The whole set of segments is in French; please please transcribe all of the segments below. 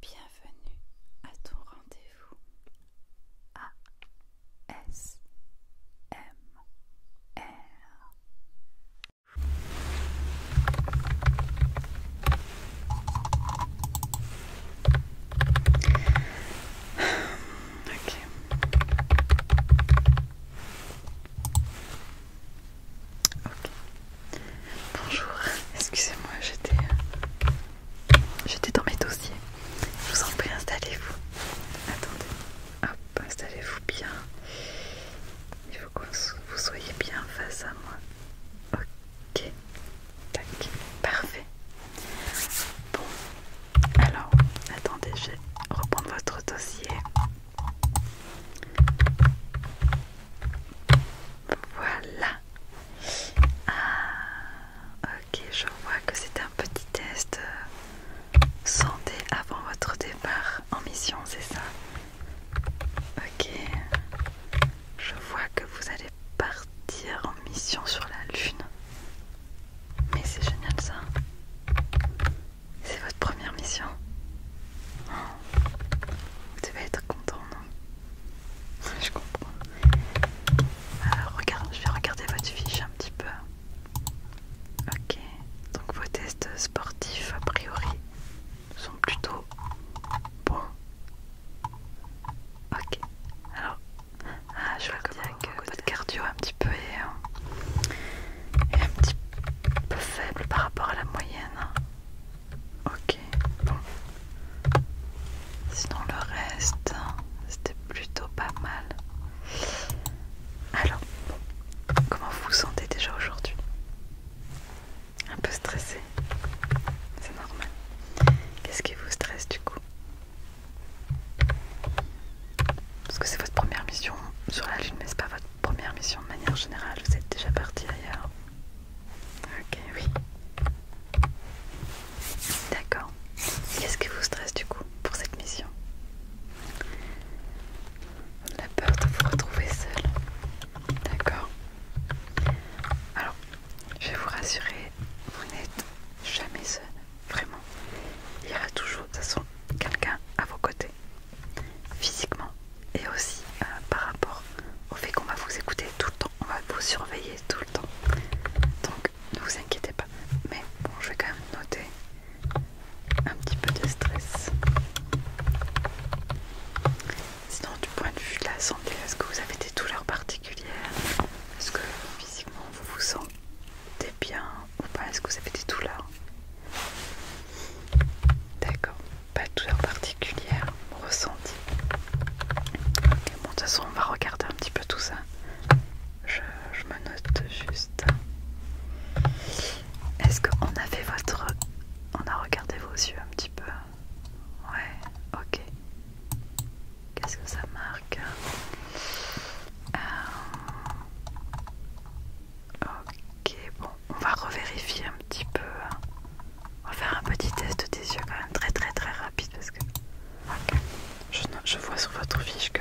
Bienvenue à ton rendez-vous S M OK. Bonjour, excusez-moi, j'étais j'étais dans mes dossiers. Je vous en prie, installez-vous. Attendez, hop, installez-vous bien. Il faut que vous soyez bien face à moi. Ok, tac, parfait. Bon, alors, attendez, je vais reprendre votre dossier. Voilà. Ah, ok, je vois que c'est un petit test euh, santé avant votre départ en mission, c'est ça Ok. Je vois que vous allez partir en mission sur la Lune. Mais c'est génial ça. C'est votre première mission. Oh, vous devez être content, non je comprends. Euh, alors, je vais regarder votre fiche un petit peu. Ok, donc vos tests sportifs a priori sont plutôt bons. Ok, alors ah, je vois que votre cardio un petit peu euh, est un petit peu faible par rapport à la moyenne. Hein. Ok, bon. Sinon le reste, c'était plutôt pas mal. Alors, comment vous vous sentez déjà aujourd'hui Un peu stressé C'est normal. Qu'est-ce qui vous stresse du coup Parce que c'est votre première mission sur la Lune, mais c'est pas votre première mission de manière générale. Vous êtes déjà parti ailleurs. Ok, oui. D'accord. Qu'est-ce qui vous stresse du coup pour cette mission La peur de vous retrouver seul. D'accord. Alors, je vais vous rassurer, vous n'êtes jamais seul. Vraiment. Il y aura toujours, de toute façon, quelqu'un à vos côtés. Physiquement, et aussi euh, par rapport au fait qu'on va vous écouter tout le temps, on va vous surveiller tout le temps. Donc ne vous inquiétez pas. Mais bon, je vais quand même noter un petit peu de stress. Sinon, du point de vue de la santé, est-ce que vous avez des douleurs particulières Est-ce que physiquement vous vous sentez bien ou pas Est-ce que vous avez des douleurs D'accord pas de douleur particulière ressenti bon, de toute façon, on va regarder un petit peu tout ça. Je, me note juste. Est-ce qu'on a fait votre. On a regardé vos yeux un petit peu Ouais, ok. Qu'est-ce que ça marque euh, Ok. Ok, bon, on va revérifier un petit peu. Hein. On va faire un petit test des yeux quand même très très très rapide parce que je, vois sur votre fiche que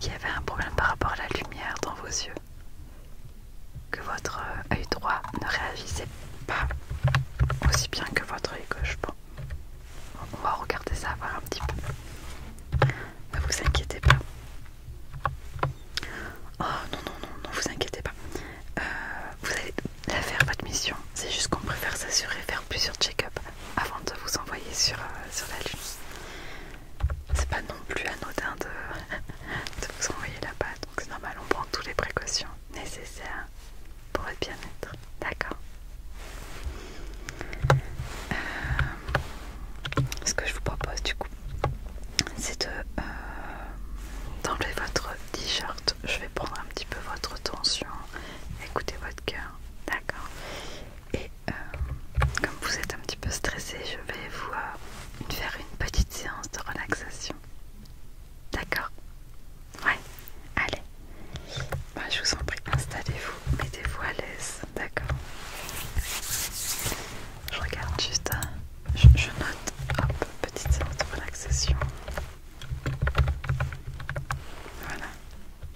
qu'il y avait un problème par rapport à la lumière dans vos yeux, que votre euh, œil droit ne réagissait pas aussi bien que votre œil gauche. Bon, on va regarder ça voir un petit peu. Ne vous inquiétez pas, Oh non, non, non, non, vous inquiétez pas. Euh, vous allez la faire, votre mission. C'est juste qu'on préfère s'assurer, faire plusieurs check-up avant de vous envoyer sur, euh, la Lune. C'est pas non plus anodin de, vous envoyer là-bas, donc c'est normal, on prend toutes les précautions nécessaires pour votre bien-être. D'accord euh, Ce que je vous propose, du coup, c'est euh, d'enlever votre t-shirt. Je vais prendre un petit peu votre tension, écoutez votre cœur, d'accord Et euh, comme vous êtes un petit peu stressé, je vais vous euh, faire une petite séance de relaxation. D'accord Ouais, allez. Bah, je vous en prie, installez-vous, mettez-vous à l'aise, d'accord je regarde juste, euh, je, note, hop, petite séance de relaxation. Voilà.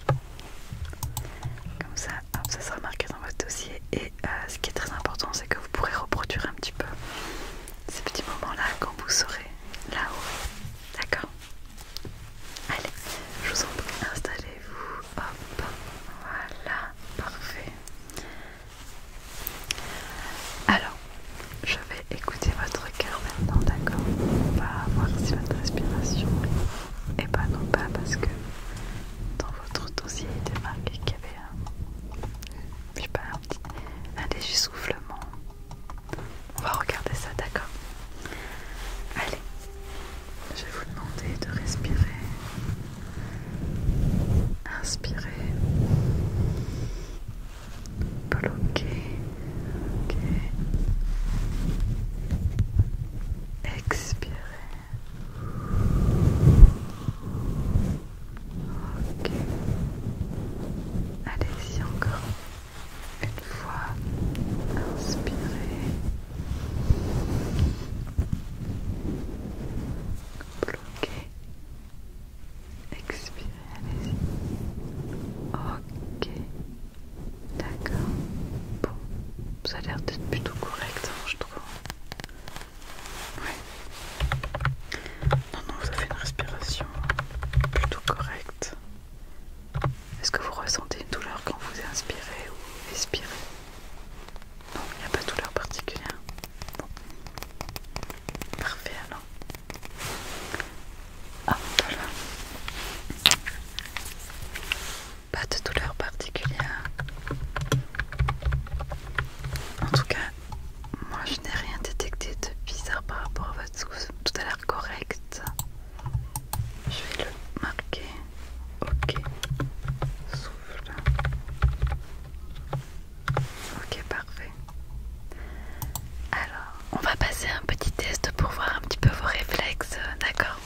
Comme ça, ça sera marqué dans votre dossier. Et euh, ce qui est très important, c'est que vous pourrez reproduire un petit peu ces petits moments-là quand vous serez là-haut. D'accord Allez, je vous en prie, installez-vous. Hop, voilà, parfait. Alors, je vais écouter votre cœur maintenant, d'accord On va voir si votre respiration est pas non pas parce que dans votre dossier il était marqué qu'il y avait un, petit, On va regarder ça, d'accord Allez, je vais vous demander de respirer Inspirez. Bloquez. Expirez. Allez-y encore. Une fois. Inspirez. Bloquer. expirez, allez-y. Ok, d'accord. Bon, ça a l'air d'être plutôt correct, hein, je trouve. oui, Non, non, vous avez une respiration plutôt correcte. Est-ce que vous ressentez une douleur quand vous inspirez ou expirez non, il n'y a pas de douleur particulière. Parfait alors. Ah, voilà. Pas de douleur particulière. En tout cas, moi je n'ai rien détecté de bizarre par rapport à votre souffle. Tout à l'air correct. Je vais le marquer. Ok. Souffle. Ok, parfait. Alors, on va passer un petit test pour voir un petit peu vos réflexes, d'accord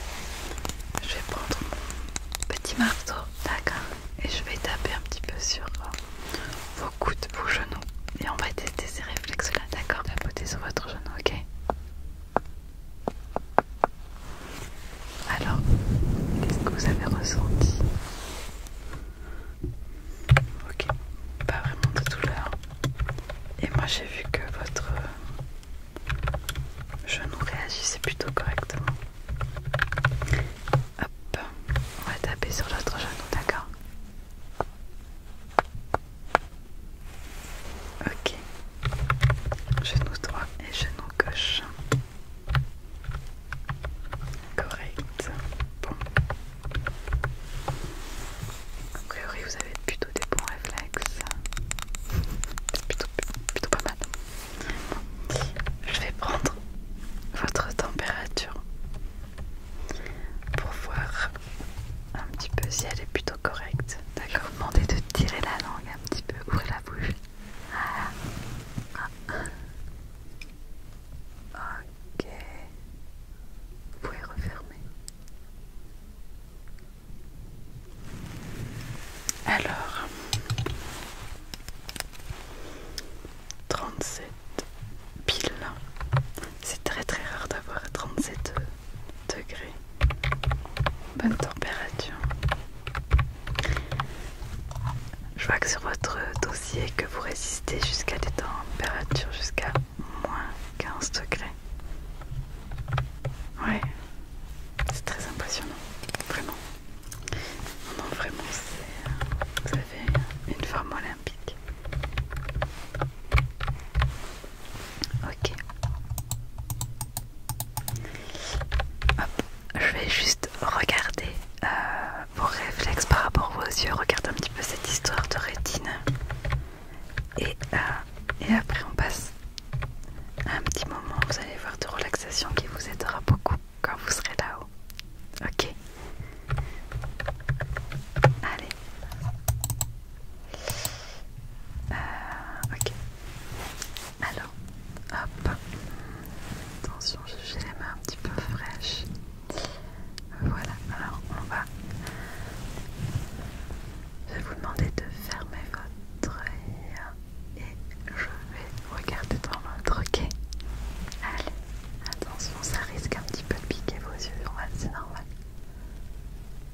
Je vais prendre mon petit marteau, d'accord Et je vais taper un petit peu sur euh, vos coudes, vos genoux. Et on va tester ces réflexes-là, d'accord taper sur votre genou, ok alors, qu'est-ce que vous avez ressenti Ok, pas vraiment de douleur. Et moi j'ai vu que votre genou réagissait plutôt correctement. Hop, on va taper sur l'autre genou, d'accord Ok, genou droit et genou gauche. Correct. Bon. A priori, vous avez plutôt des bons réflexes. Plutôt, plutôt pas mal. Je vais prendre votre température pour voir un petit peu si elle est plutôt correcte. D'accord. Demandez de tirer la langue un petit peu, ouvrez la bouche. Ok. Vous pouvez refermer. Alors, 37 piles. C'est très très rare d'avoir 37 degrés. Bonne température. Je vois que sur votre dossier que vous résistez jusqu'à des températures jusqu'à moins 15 degrés. Ouais, c'est très impressionnant, vraiment. Non, vraiment, vous avez une forme olympique. Ok. Je vais juste regarder euh, vos réflexes par rapport aux yeux. Regarde un petit peu cette histoire de rétine. Euh, et, après, on passe un petit moment. Vous allez voir de relaxation qui vous aidera beaucoup quand vous serez là-haut. Ok Allez. Euh, ok. Alors, hop. Attention, j'ai les mains un petit peu fraîches. Voilà, alors on va. Je vais vous demander de fermer votre œil et je vais regarder dans l'autre, ok Allez, attention, ça risque un petit peu de piquer vos yeux, c'est normal.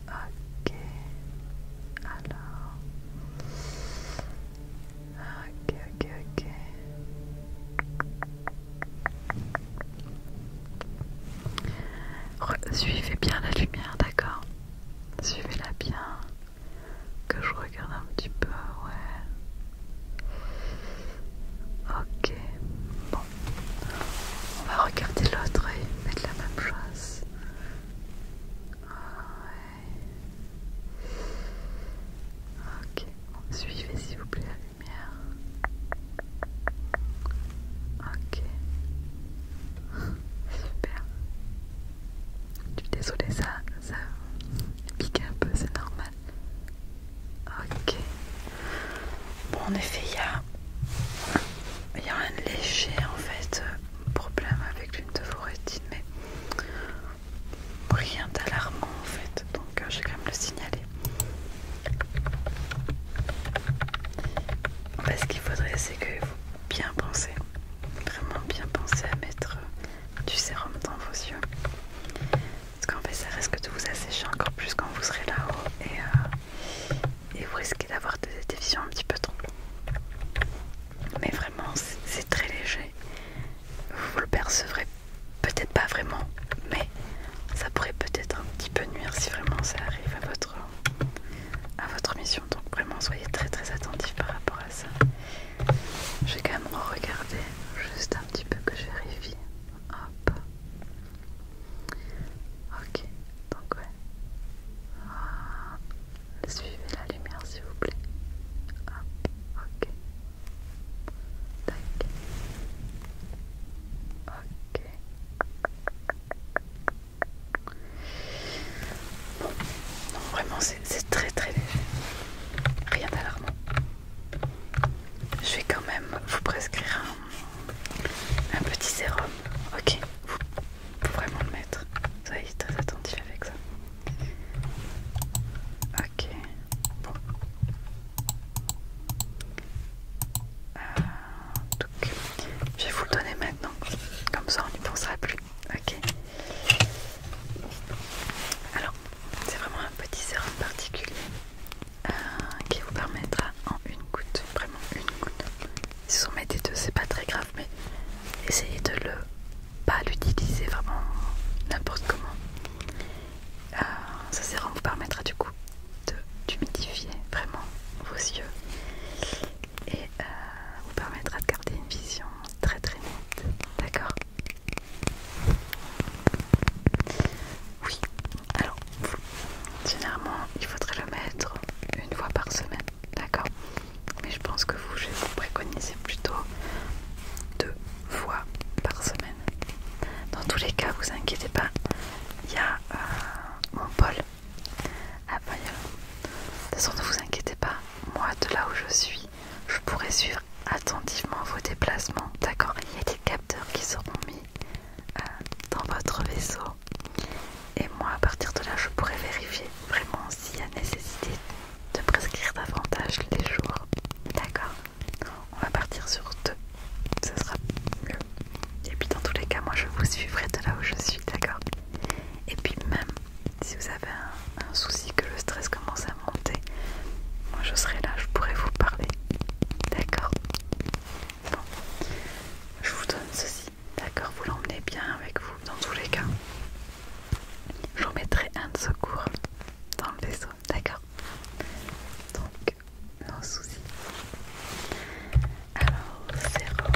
Ok, alors. Ok, ok, ok. Suivez bien la lumière, d'accord Suivez-la bien. Que je regarde un petit peu, ouais. Ok. Bon. On va regarder l'autre et mettre la même chose. Ok, suivez s'il vous plaît la lumière. Ok. Super. Je suis désolée, ça, ça pique un peu, c'est normal. Ok. Bon, en effet, il y a, il y a un léger en fait euh, problème avec l'une de vos rétines, mais rien d'alarmant en fait, donc euh, je vais quand même le signaler. ce qu'il faudrait, c'est que vous bien pensez vraiment bien pensez à mettre euh, du sérum dans vos yeux. Parce qu'en fait, ça risque de vous assécher encore plus quand vous serez là-haut et, euh, vous risquez d'avoir des visions un petit peu trop mais vraiment c'est très léger. Vous le percevrez peut-être pas vraiment, mais ça pourrait peut-être un petit peu nuire si vraiment ça arrive à votre, à votre mission. Donc vraiment soyez très très attentif par rapport à ça. Je vais quand même re-regarder, juste un petit peu que je vérifie. Hop. Ok, donc ouais. Ah. Suivez la lumière s'il vous plaît. ok. Ok. non, vraiment, c'est très très léger. Rien d'alarmant. Je vais quand même vous prescrire un, petit sérum. Ok, pour vraiment le mettre. Ça est très attentif avec ça. Ok, bon. Euh, donc, je vais vous le donner maintenant, comme ça on n'y pensera plus. Ok. Alors, c'est vraiment un petit sérum particulier euh, qui vous permettra en une goutte, vraiment une goutte, si vous en mettez deux c'est pas très grave mais essayez de le pas l'utiliser vraiment n'importe comment euh, Ça ce sérum vous permettra du coup d'humidifier vraiment vos yeux et euh, vous permettra de garder une vision très très nette d'accord oui alors généralement il faudrait le mettre une fois par semaine D'accord Mais je pense que vous, je vous préconiser plutôt deux fois par semaine. Dans tous les cas, vous inquiétez pas, il y a euh, mon Paul ah, à Bayonne. De toute façon, ne vous inquiétez pas, moi de là où je suis, je pourrais suivre attentivement vos déplacements. D'accord Il y a des capteurs qui seront mis euh, dans votre vaisseau et moi, à partir de là, je pourrais vérifier vraiment s'il y a nécessité de prescrire davantage les jours. D'accord On va partir sur deux. Ce sera mieux. Et puis dans tous les cas, moi je vous suivrai de là où je suis, d'accord Et puis même si vous avez un, un souci, que le stress commence à monter, moi je serai là, je pourrai vous parler. D'accord Bon. Je vous donne ceci. D'accord, vous l'emmenez bien avec vous dans tous les cas. Je vous mettrai un de secours dans le vaisseau, d'accord Donc, non souci. Alors, sérum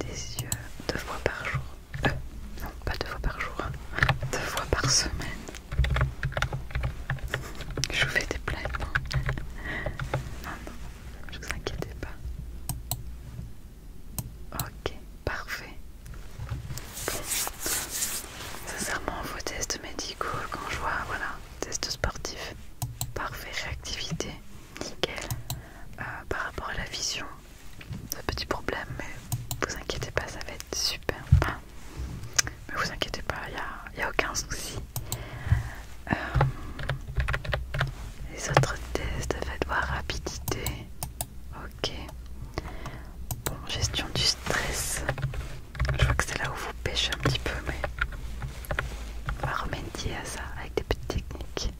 des yeux deux fois par jour. Euh, non, pas deux fois par jour, hein. deux fois par semaine. Je vous fais des blagues. Hein. Ah non, non ne vous inquiétez pas. Ok, parfait. Sincèrement, vos tests médicaux, quand je vois, voilà, test sportif, parfait, réactivité, nickel. Euh, par rapport à la vision, c'est un petit problème, mais vous inquiétez pas, ça va être super. mais vous inquiétez pas, il n'y a aucun souci. Euh, les autres tests, faites voir rapidité. Ok. Bon, gestion du stress. Je vois que c'est là où vous pêchez un petit peu, mais on va remédier à ça avec des petites techniques.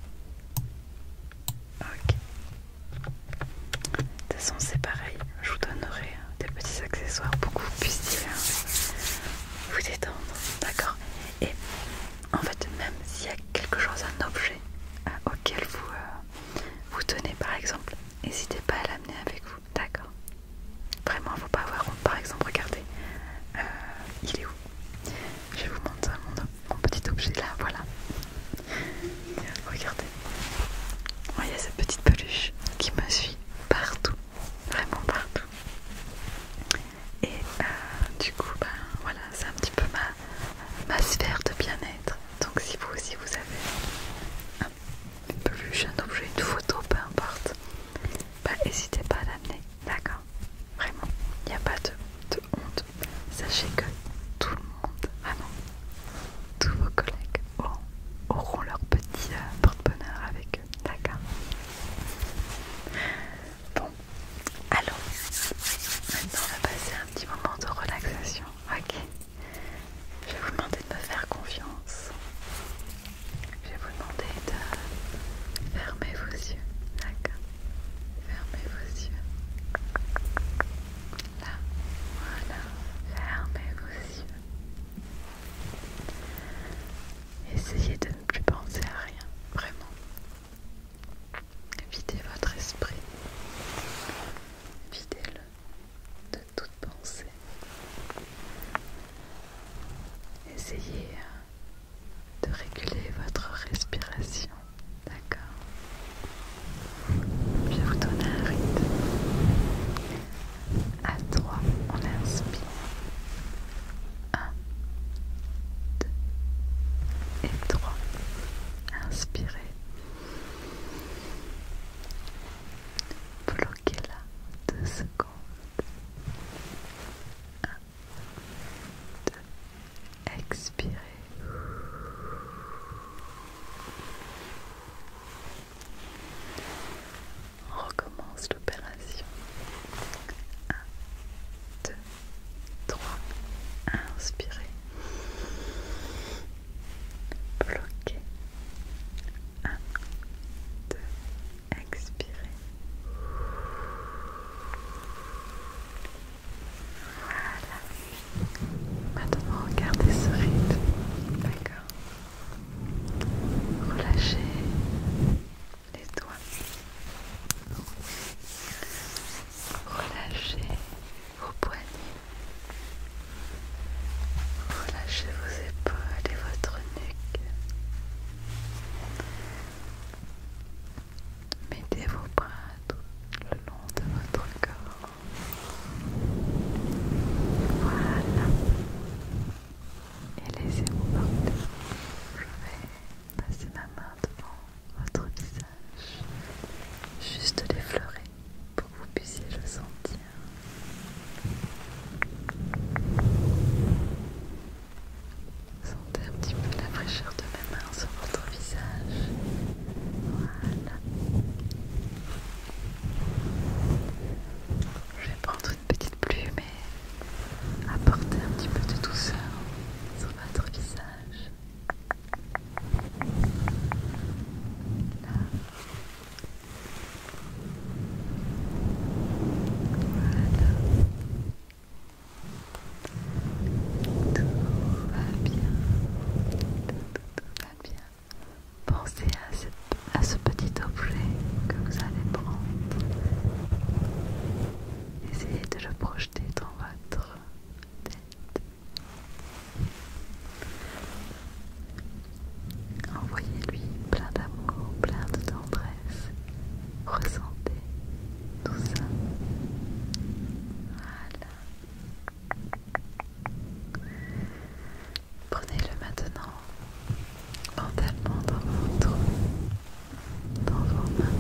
Ok. De toute façon, c'est pareil. Je vous donnerai des petits accessoires pour que vous puissiez hein, vous détendre. D'accord et en fait, même s'il y a quelque chose, un objet hein, auquel vous, euh, vous tenez par exemple, n'hésitez pas à l'amener avec vous, d'accord Vraiment, il ne faut pas avoir honte. Par exemple, regardez, euh, il est où Je vous montre mon, petit objet là, voilà. Regardez, oh, il y a cette petite peluche qui me suit partout, vraiment partout et euh, du coup ben, voilà c'est un petit peu ma, sphère de bien-être donc si vous aussi vous avez un plus un objet, une photo, peu importe ben, n'hésitez pas à l'amener d'accord vraiment il n'y a pas de, honte sachez que tout le monde vraiment tous vos collègues auront, leur petit euh, porte-bonheur avec d'accord. Bon, allons, maintenant on va passer un petit moment de relaxation, ok Je vais vous demander de me faire confiance. Je vais vous demander de fermer vos yeux, d'accord Fermez vos yeux. Là, voilà, fermez vos yeux. Essayez de plus penser à rien, vraiment. Videz votre esprit, videz-le de toute pensée. Essayez euh, de réguler votre respiration, d'accord Je vais vous donner un rythme. À trois, on inspire. Un, deux et trois. Inspirez. Bloquez-la deux secondes. Un, Expirez recommence l'opération. 1, 2, 3. Inspirez. Bloquez. 1, 2. Expirez. Voilà. Maintenant, regardez ce rythme. D'accord. Relâchez les doigts. Relâchez vos poignets. Relâchez vos épaules et votre nuque. Mettez vos bras tout le long de votre corps. Voilà et laissez-vous porter. Je vais passer ma main devant votre visage, juste l'effleurer pour que vous puissiez le sentir. Sentez un petit peu la fraîcheur de ma main sur votre visage. Voilà. Je vais prendre une petite plus, mais apporter un petit peu de douceur sur votre visage. Voilà. Tout va bien. Tout, va bien. Pensez à à, ce petit objet que vous allez prendre. Essayez de le projeter dans votre tête. Envoyez-lui plein d'amour, plein de tendresse. Ressentez tout ça. Voilà. Prenez-le maintenant mentalement dans votre dans vos mains.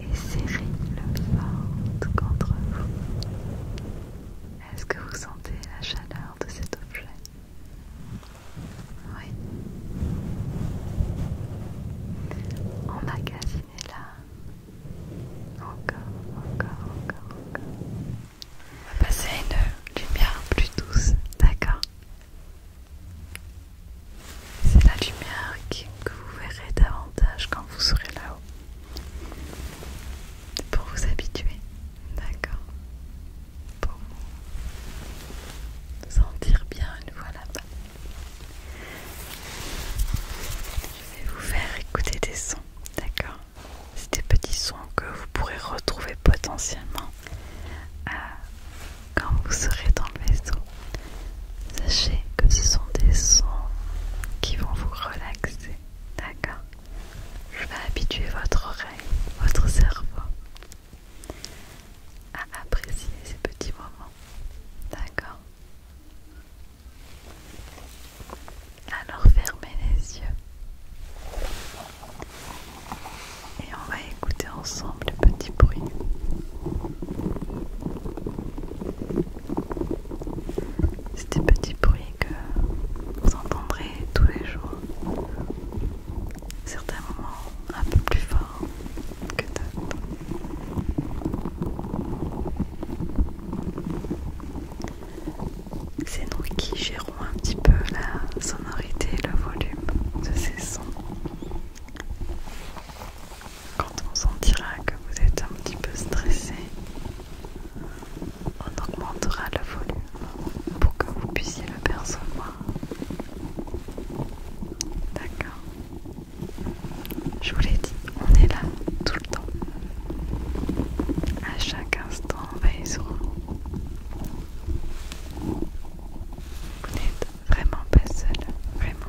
Et serrez le ventre contre vous. Est-ce que vous sentez la chaleur de cet objet Oui. Emmagasinez-la encore, encore, encore, encore. On va passer à une lumière plus douce, d'accord C'est la lumière que vous verrez davantage quand vous serez là-haut. Pour vous habituer, d'accord Pour vous sentir bien une fois là-bas. Je vais vous faire écouter des sons, d'accord c'est des petits sons que vous pourrez retrouver potentiellement euh, quand vous serez dans le vaisseau. Sachez que ce sont des sons qui vont vous relaxer, d'accord Je vais habituer votre oreille, votre cerveau à apprécier ces petits moments, d'accord alors fermez les yeux et on va écouter ensemble le petit bruit. C'est des petits bruits que vous entendrez tous les jours. Certains moments un peu plus forts que d'autres. C'est nous qui gérons un petit peu la sonorité et le volume de ces sons. Quand on sentira que vous êtes un petit peu stressé, on augmentera le volume pour que vous puissiez le percevoir. D'accord je vous l'ai dit, on est là tout le temps. À chaque instant veille sur vous. n'êtes vraiment pas seul, vraiment.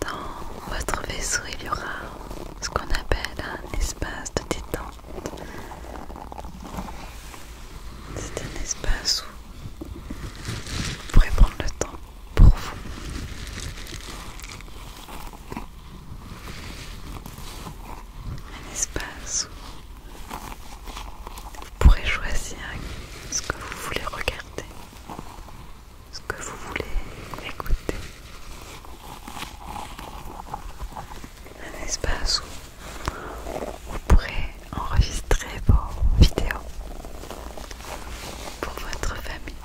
Dans votre vaisseau, il y aura ce qu'on appelle un espace de détente. C'est un espace où vous pourrez prendre le temps pour vous. Un espace où vous pourrez choisir ce que vous voulez regarder ce que vous voulez écouter. Un espace où vous pourrez enregistrer vos vidéos pour votre famille.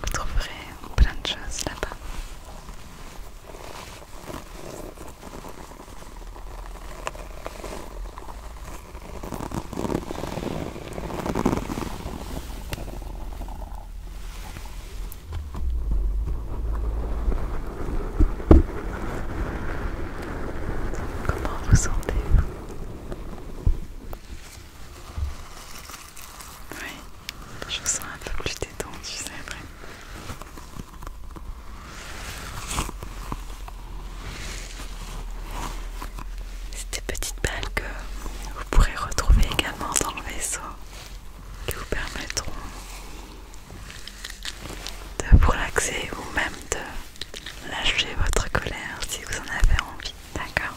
Vous trouverez plein de choses là-bas. Comment vous sentez-vous je vous sens un peu plus après. c'est vrai. petites balles que vous pourrez retrouver également dans le vaisseau qui vous permettront de vous relaxer ou même de lâcher votre colère si vous en avez envie, d'accord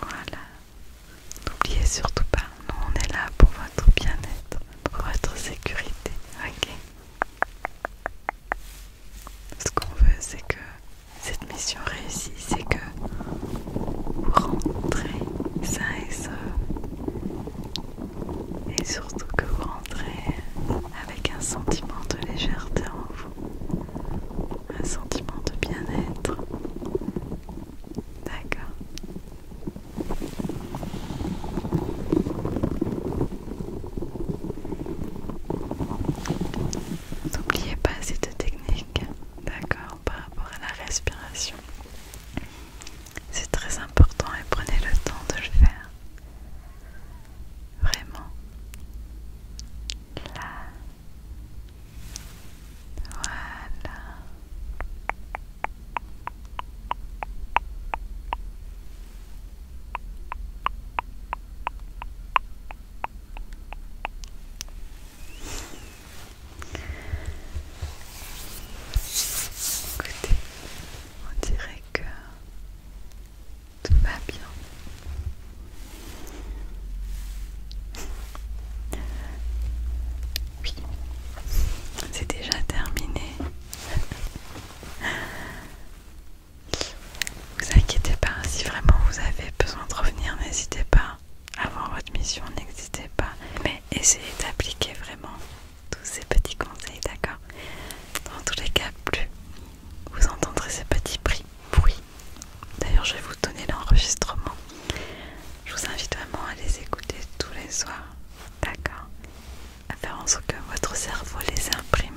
voilà. N'oubliez surtout pas, nous on est là pour votre bien-être, pour votre sécurité. Ok Ce qu'on veut, c'est que cette mission réussisse c'est que vous rentrez sain et sauf. Et surtout que vous rentrez avec un sentiment de légèreté en vous un sentiment de bien-être. D'accord. N'oubliez pas cette technique, d'accord, par rapport à la respiration. C'est très important et prenez le temps de le faire. Vraiment. Là. Voilà. on dirait que tout va bien. Oui, c'est déjà terminé. Vous inquiétez pas, si vraiment vous avez besoin de revenir, n'hésitez pas. Avant votre mission, n'hésitez pas. Mais essayez d'appliquer vraiment tous ces petits conseils, d'accord Dans tous les cas, plus vous entendrez ces petits prix bruits. D'ailleurs, je vais vous donner l'enregistrement. Je vous invite vraiment à les écouter tous les soirs, d'accord À faire en sorte que votre cerveau les imprime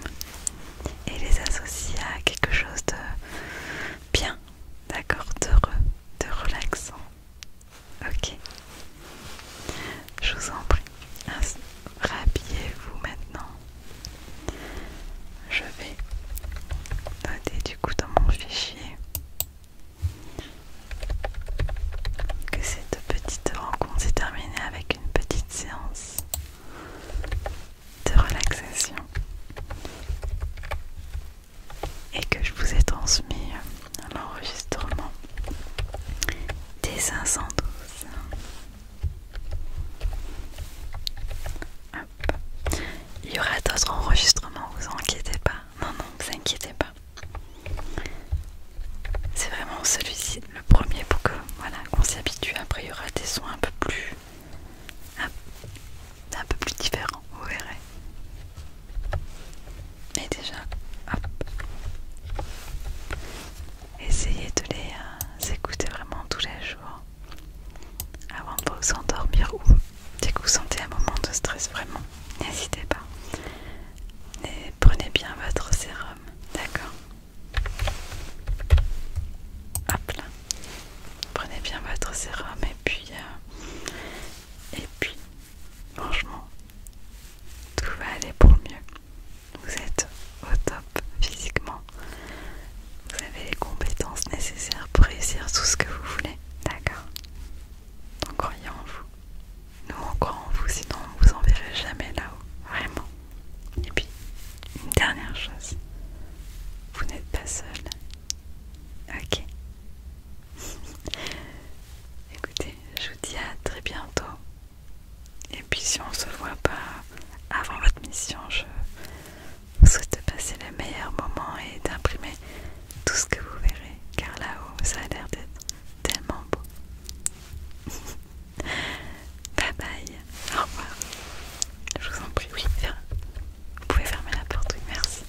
et les associe à quelque chose de bien, d'accord D'heureux, de relaxant. Ok Je vous en prie rhabillez-vous maintenant. Je vais noter du coup dans mon fichier que cette petite rencontre s'est terminée avec une petite séance de relaxation et que je vous ai transmis l'enregistrement des 512 il y aura d'autres enregistrements, vous inquiétez pas. Non, non, vous inquiétez pas. C'est vraiment celui-ci, le premier, pour voilà, qu'on s'y habitue. Après, il y aura des sons un peu plus, un, peu plus différents, vous verrez. mais déjà, hop essayez de les euh, écouter vraiment tous les jours avant de vous endormir ou dès que vous sentez un moment de stress vraiment, n'hésitez pas. Et prenez bien votre sérum, d'accord Hop là. Prenez bien votre sérum et puis euh, et puis franchement tout va aller pour le mieux vous êtes au top physiquement, vous avez les compétences nécessaires pour réussir tout ce que vous voulez, d'accord Donc croyez en vous. Nous on en vous, sinon on vous enverrait jamais là-haut, vraiment. Et puis, une dernière chose, vous n'êtes pas seul. Ok. Écoutez, je vous dis à très bientôt et puis si on se voit pas avant votre mission, je vous souhaite de passer le meilleur moment et d'imprimer tout ce que vous verrez, car là-haut, ça a l'air d'être tellement beau. bye bye, au revoir. Je vous en prie, oui, vous pouvez fermer la porte, oui, merci.